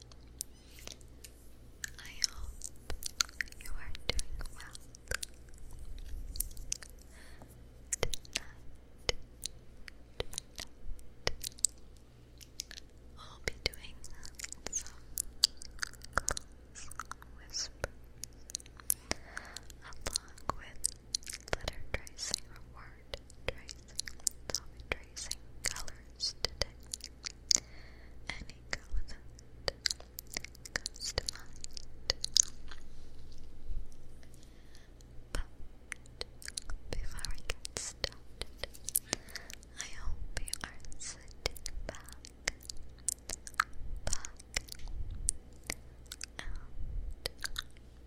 I hope you are doing well. Tonight, tonight, will be doing some whispers along with letter tracing or word start tracing, tracing colors today. Any color to mind. But before I get started, I hope you are sitting back, back, and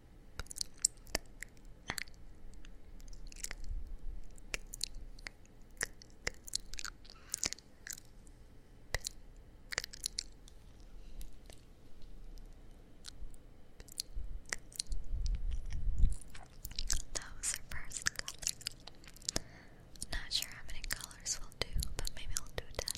That was our first color. Not sure how many colors we'll do, but maybe we'll do ten.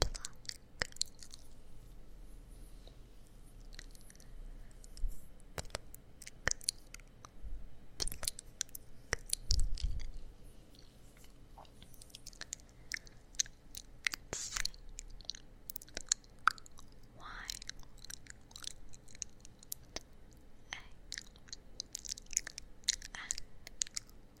pluck, pluck. C Y A N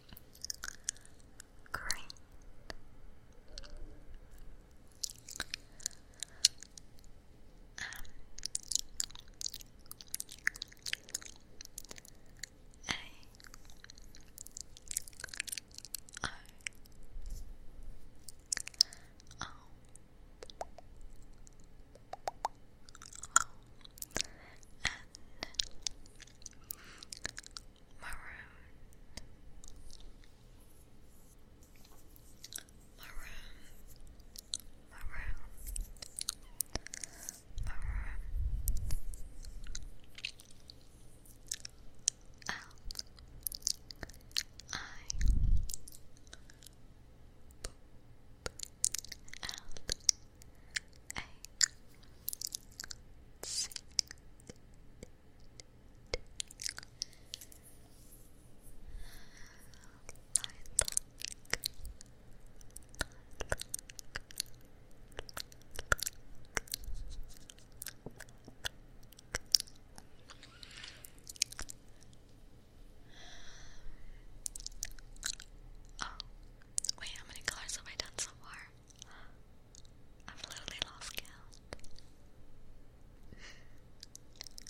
Great. Um, maroon, maroon, maroon, maroon, L I L A C D Oh, wait, how many colors have I done so far? I've literally lost count.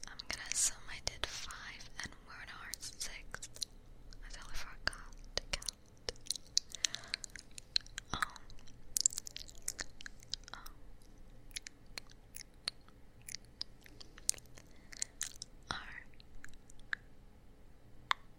I'm gonna assume I did five and we're in our sixth. I totally forgot to count. Um, um, R orange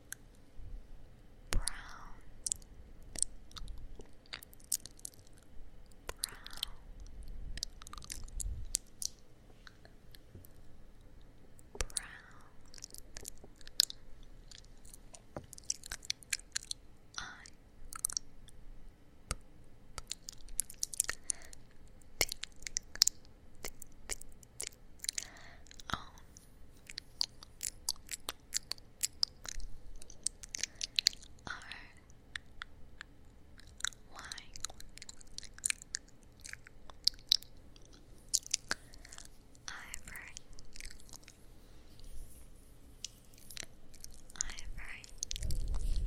brown, brown, brown. I tick, tick, tick, Oh. R. Y. Ivory. Ivory. Ivory. Ivory.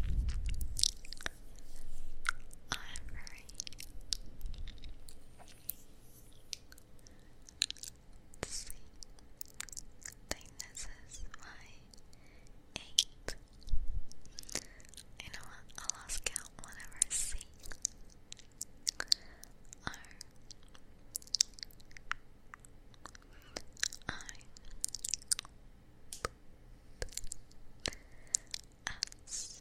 C. Think this is my eight. You know what? I lost count whenever C. R. I. S.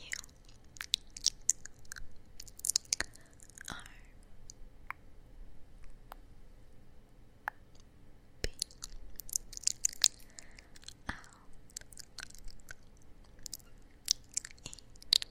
You are B L E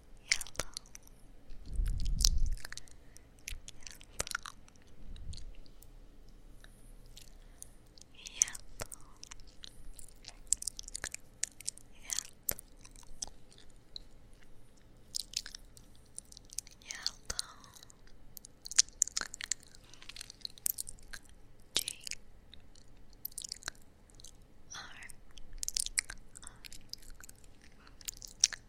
yellow, yellow, yellow, yellow, G R R E Y Gray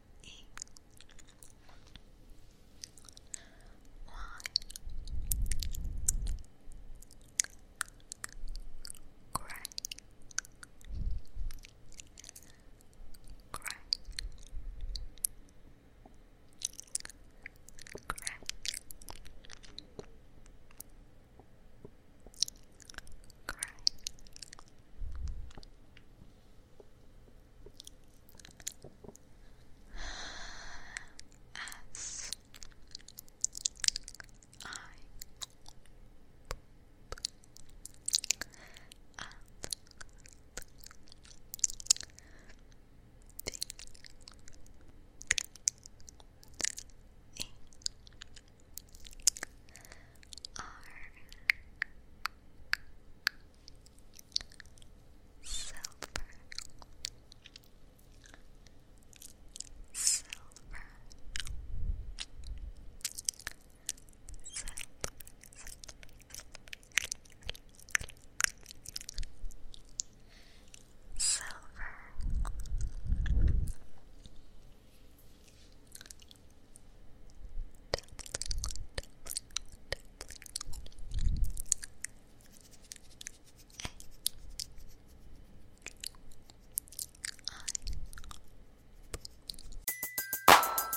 Gray Gray cry. S I are silver, silver, silver. Silver,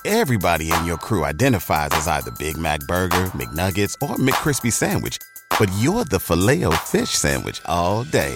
Everybody in your crew identifies as either Big Mac Burger, McNuggets, or McCrispy Sandwich, but you're the Filet-O-Fish Sandwich all day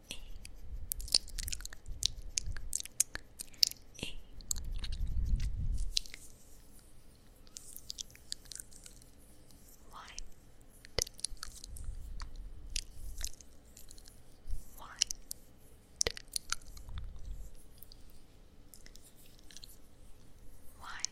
A. A. White, white, white,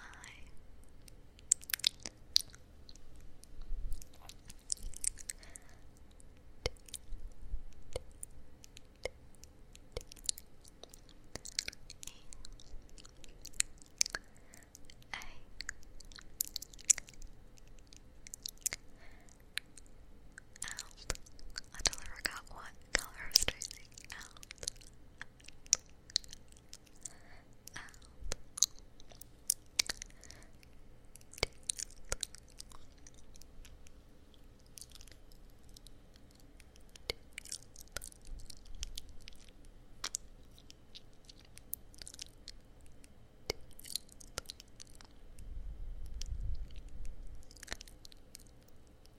Hi. I don't ever got one color is tracing out, out,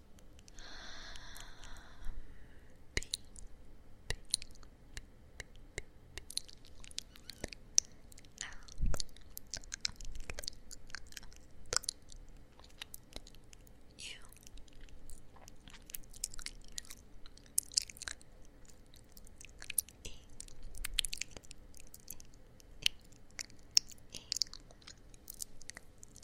L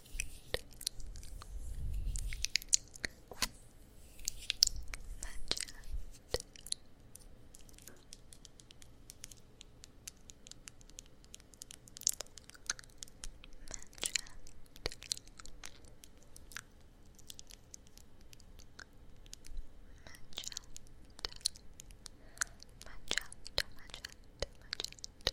Magenta, magenta, magenta, Magenta.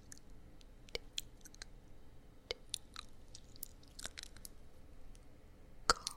Cold. Cold.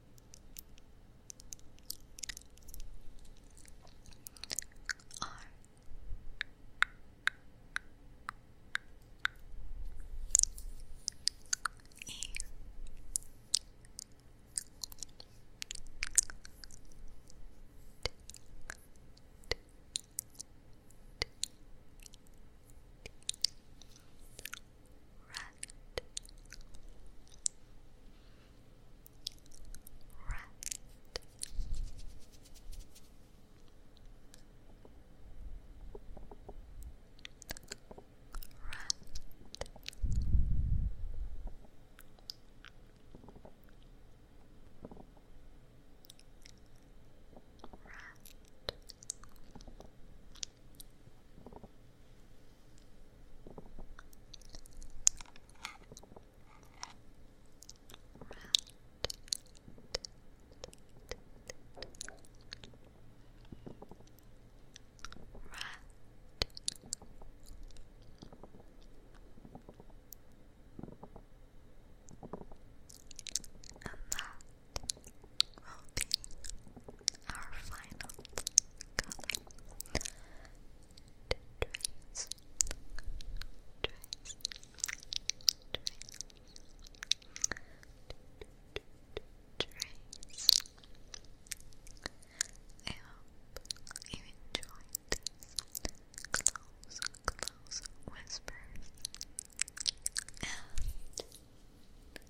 R E Right Red, red. Red that will be our final color. Trace, trace, trace, trace. I you enjoyed close, close whispers. And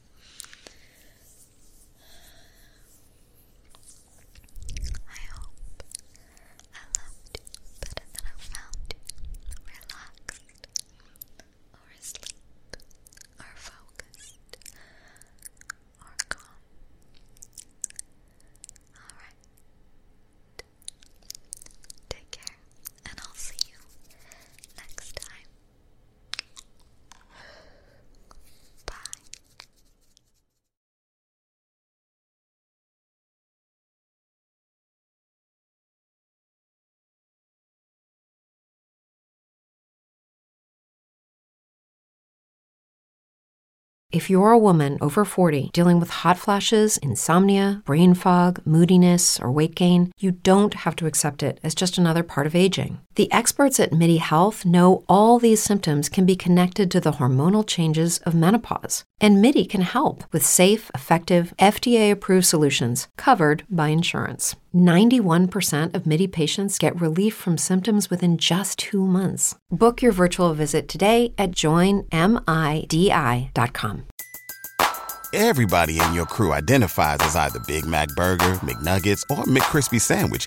I hope I loved you better I found relaxed or asleep or focused or calm. Alright. Take care, and I'll see you next time. If you're a woman over 40 dealing with hot flashes, insomnia, brain fog, moodiness, or weight gain, you don't have to accept it as just another part of aging. The experts at MIDI Health know all these symptoms can be connected to the hormonal changes of menopause, and MIDI can help with safe, effective, FDA approved solutions covered by insurance. 91% of MIDI patients get relief from symptoms within just two months. Book your virtual visit today at joinmidi.com. Everybody in your crew identifies as either Big Mac Burger, McNuggets, or McCrispy Sandwich